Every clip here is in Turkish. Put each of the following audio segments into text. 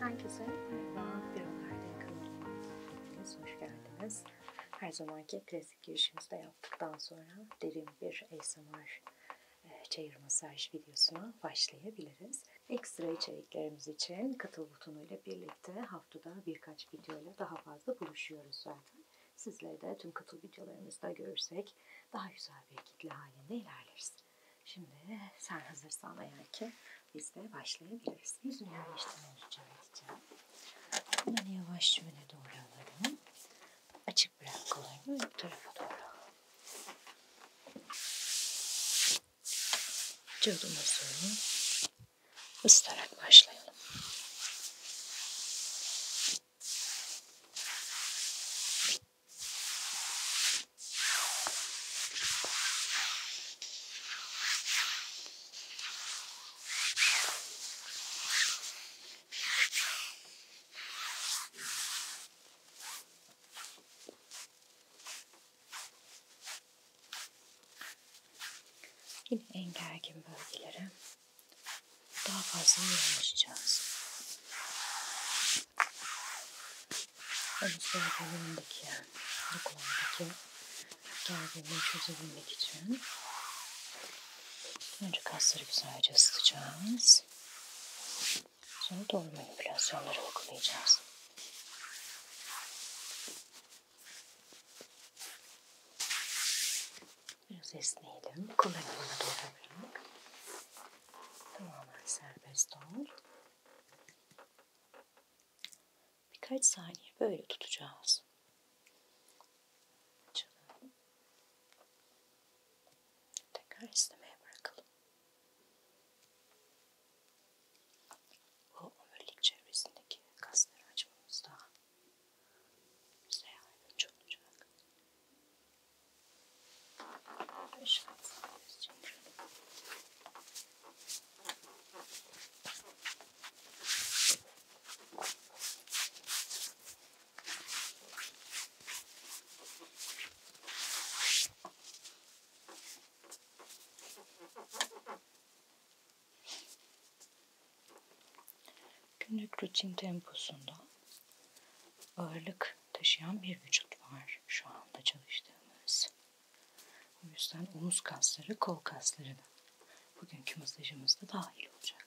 Herkese merhaba, bir Ömer'den kanalıma hoş, hoş geldiniz. Her zamanki klasik girişimizi de yaptıktan sonra derin bir ASMR e, çayır masaj videosuna başlayabiliriz. Ekstra çayır içeriklerimiz için katıl butonuyla birlikte haftada birkaç videoyla daha fazla buluşuyoruz zaten. Sizleri de tüm katıl videolarımızda görürsek daha güzel bir kitle halinde ilerleriz. Şimdi sen hazırsan eğer ki biz de başlayabiliriz. Yüzünü yerleştirmeni rica edeceğim. Bunları yavaşça öne doğru alalım. Açık bırak kollarını bu tarafa doğru. Cıvdımızı ısıtarak başlayalım. Yine en gergin bölgelere daha fazla yoğunlaşacağız. Omuz bölgelerindeki, dokulardaki gerginliği çözebilmek için önce kasları güzelce ısıtacağız. Sonra doğru manipülasyonları uygulayacağız. Biraz esneyelim. Kollarını doğru bırak. Tamamen serbest ol. Birkaç saniye böyle tutacağız. Açalım. Tekrar esnemeye bırakalım. Bu omurilik çevresindeki kasları açmamızda bize yardımcı olacak. Günlük rutin temposunda ağırlık taşıyan bir vücut var şu anda çalıştığımız. O yüzden omuz kasları, kol kasları da bugünkü masajımızda dahil olacak.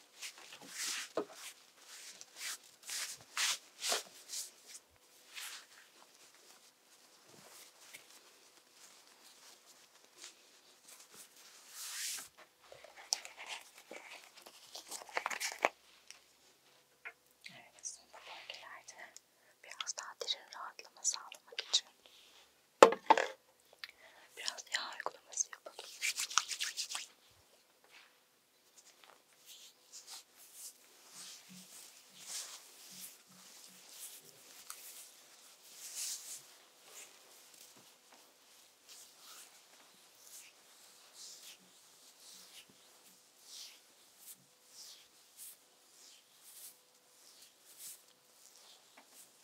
Evet, son bölgelerde biraz daha derin rahatlama sağlamak için Biraz yağ uygulaması yapalım.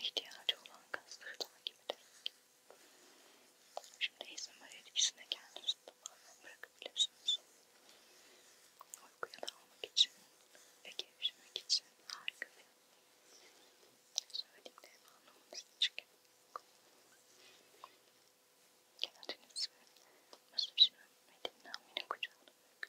ihtiyacı olan kasları takip ederek. Şimdi izmir etkisine kendinizi tamamen bırakabilirsiniz. Uykuya dalmak için ve gevşemek için harika bir söylediğimde anlamanız için kendinizi masajın ve dinlenmenin kucağına bırakın.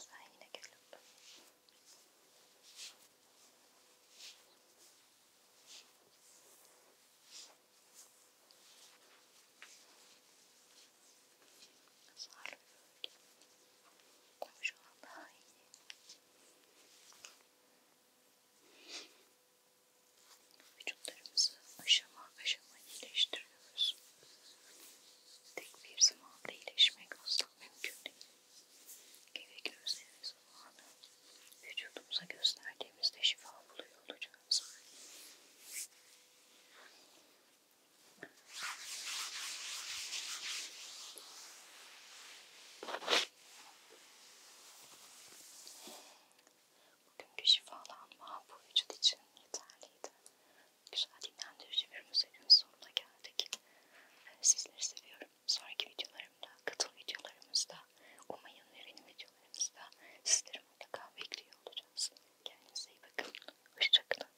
Sen yine gülüm. Sarı bölge. Şu an daha iyi. Vücutlarımızı aşama aşama iyileştirmeye görüyoruz. Tek bir zamanda iyileşmek asla mümkün değil. Gerekli özlemi zamanı vücudumuza gösterdiğimizde şifa buluyor olacağız. Bugünkü şifalanma bu vücut için yeterliydi güzel dinlendirici bir müziğin sonuna geldik. Ee, sizleri seviyorum. Sonraki videolarımda, katıl videolarımızda, umayın ve benim videolarımızda sizleri mutlaka bekliyor olacağız. Kendinize iyi bakın. Hoşçakalın.